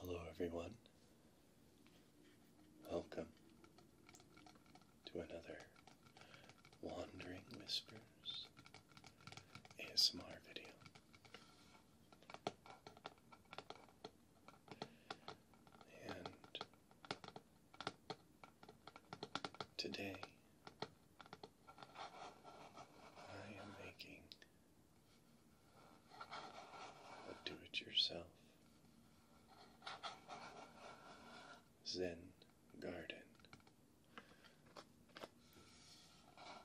Hello, everyone. Welcome to another Wandering Whispers ASMR video. And today I am making a do it yourself Zen garden.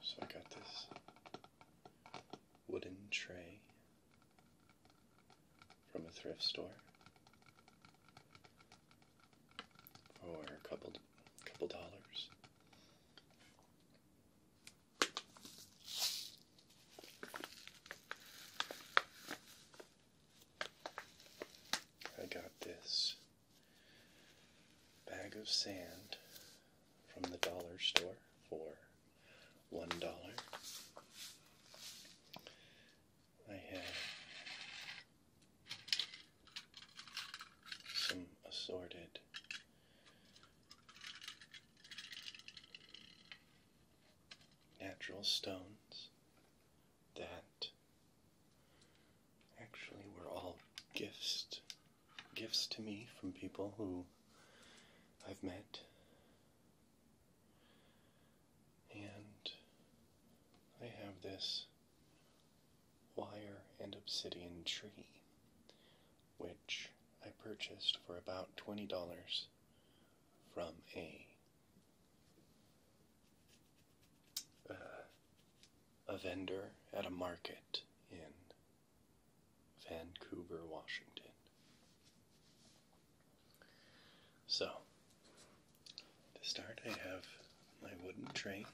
So I got this wooden tray from a thrift store for a couple couple dollars. I got this bag of sand from the dollar store for one dollar. I have some assorted natural stones that actually were all gifts gifts to me from people who I've met. And I have this wire and obsidian tree, which I purchased for about $20 from a uh, a vendor at a market in Vancouver, Washington. So, to start, I have my wooden tray,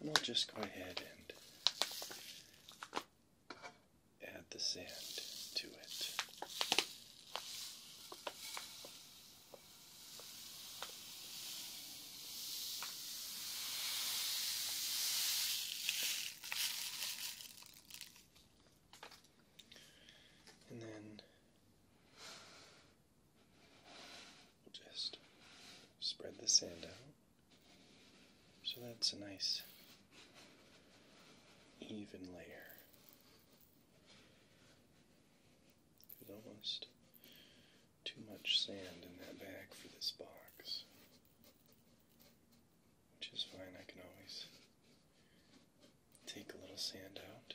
and I'll just go ahead and add the sand to it. And then just spread the sand out so that's a nice even layer. It almost too much sand in that bag for this box, which is fine. I can always take a little sand out.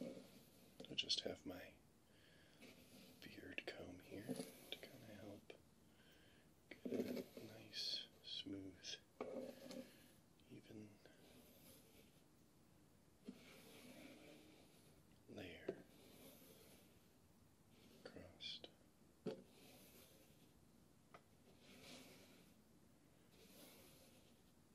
I just have my beard comb here to kind of help get a nice, smooth, even layer crossed.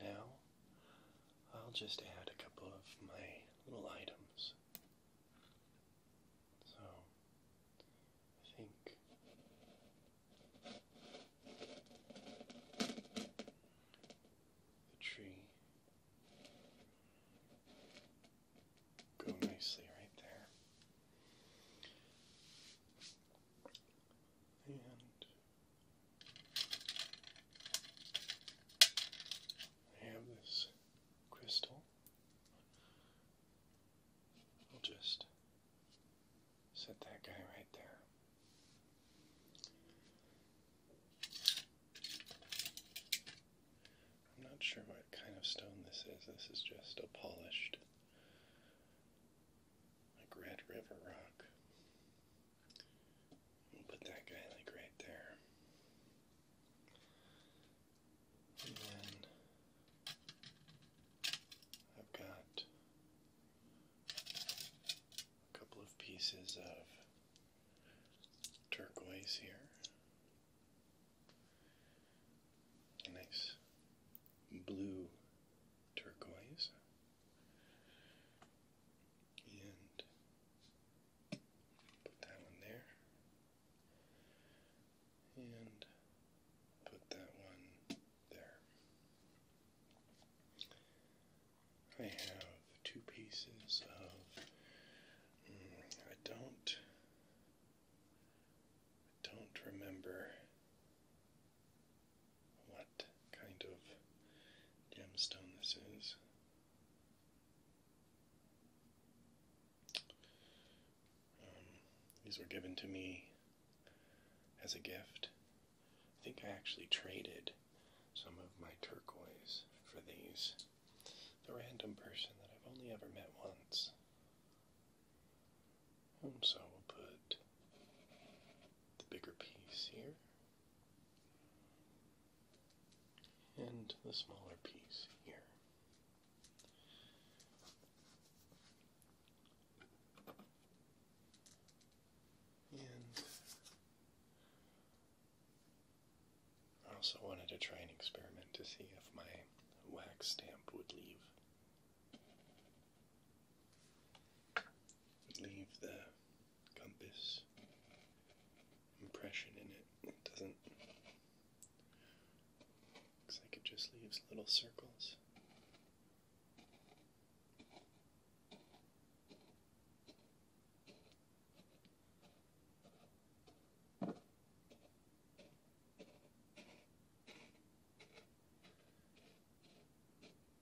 now, I'll just add a couple of my little items. So, I think the tree go nicely right there. And I have this crystal. I'll just set that guy right there. I'm not sure what kind of stone this is. This is just a polished, like red river rock. We'll put that guy like right there. And I've got a couple of pieces of turquoise here. nice blue turquoise. And put that one there. And put that one there. I have two pieces of. Mm, I don't. I don't remember what kind of gemstone this is. Um, these were given to me as a gift. I think I actually traded some of my turquoise for these. The random person that I've only ever met once. And um, so we'll put the bigger piece here and the smaller piece here. And I also wanted to try an experiment to see if my wax stamp would leave leave the compass impression in it. It doesn't. Looks like it just leaves little circles.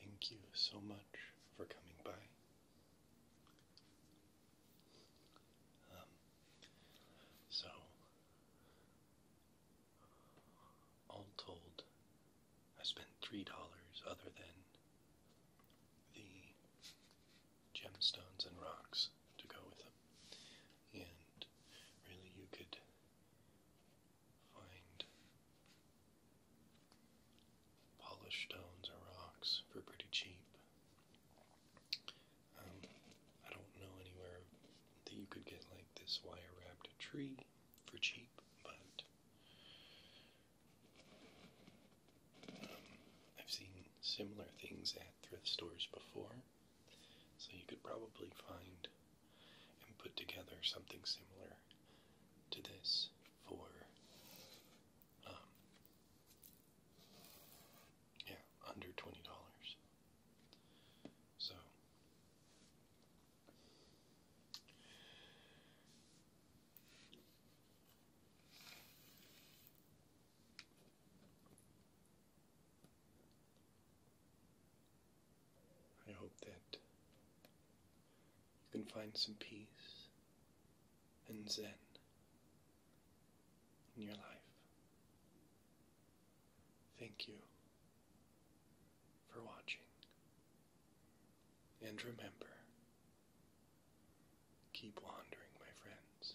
Thank you so much for coming by. Um, so, all told, I spent $3 other than the gemstones and rocks to go with them. And really, you could find polished stones or rocks for pretty cheap. Um, I don't know anywhere that you could get like this wire wrapped tree for cheap, but um, I've seen similar things at thrift stores before, so you could probably find and put together something similar to this for um, yeah, under twenty dollars. So I hope that you can find some peace and zen in your life. Thank you for watching. And remember, keep wandering, my friends.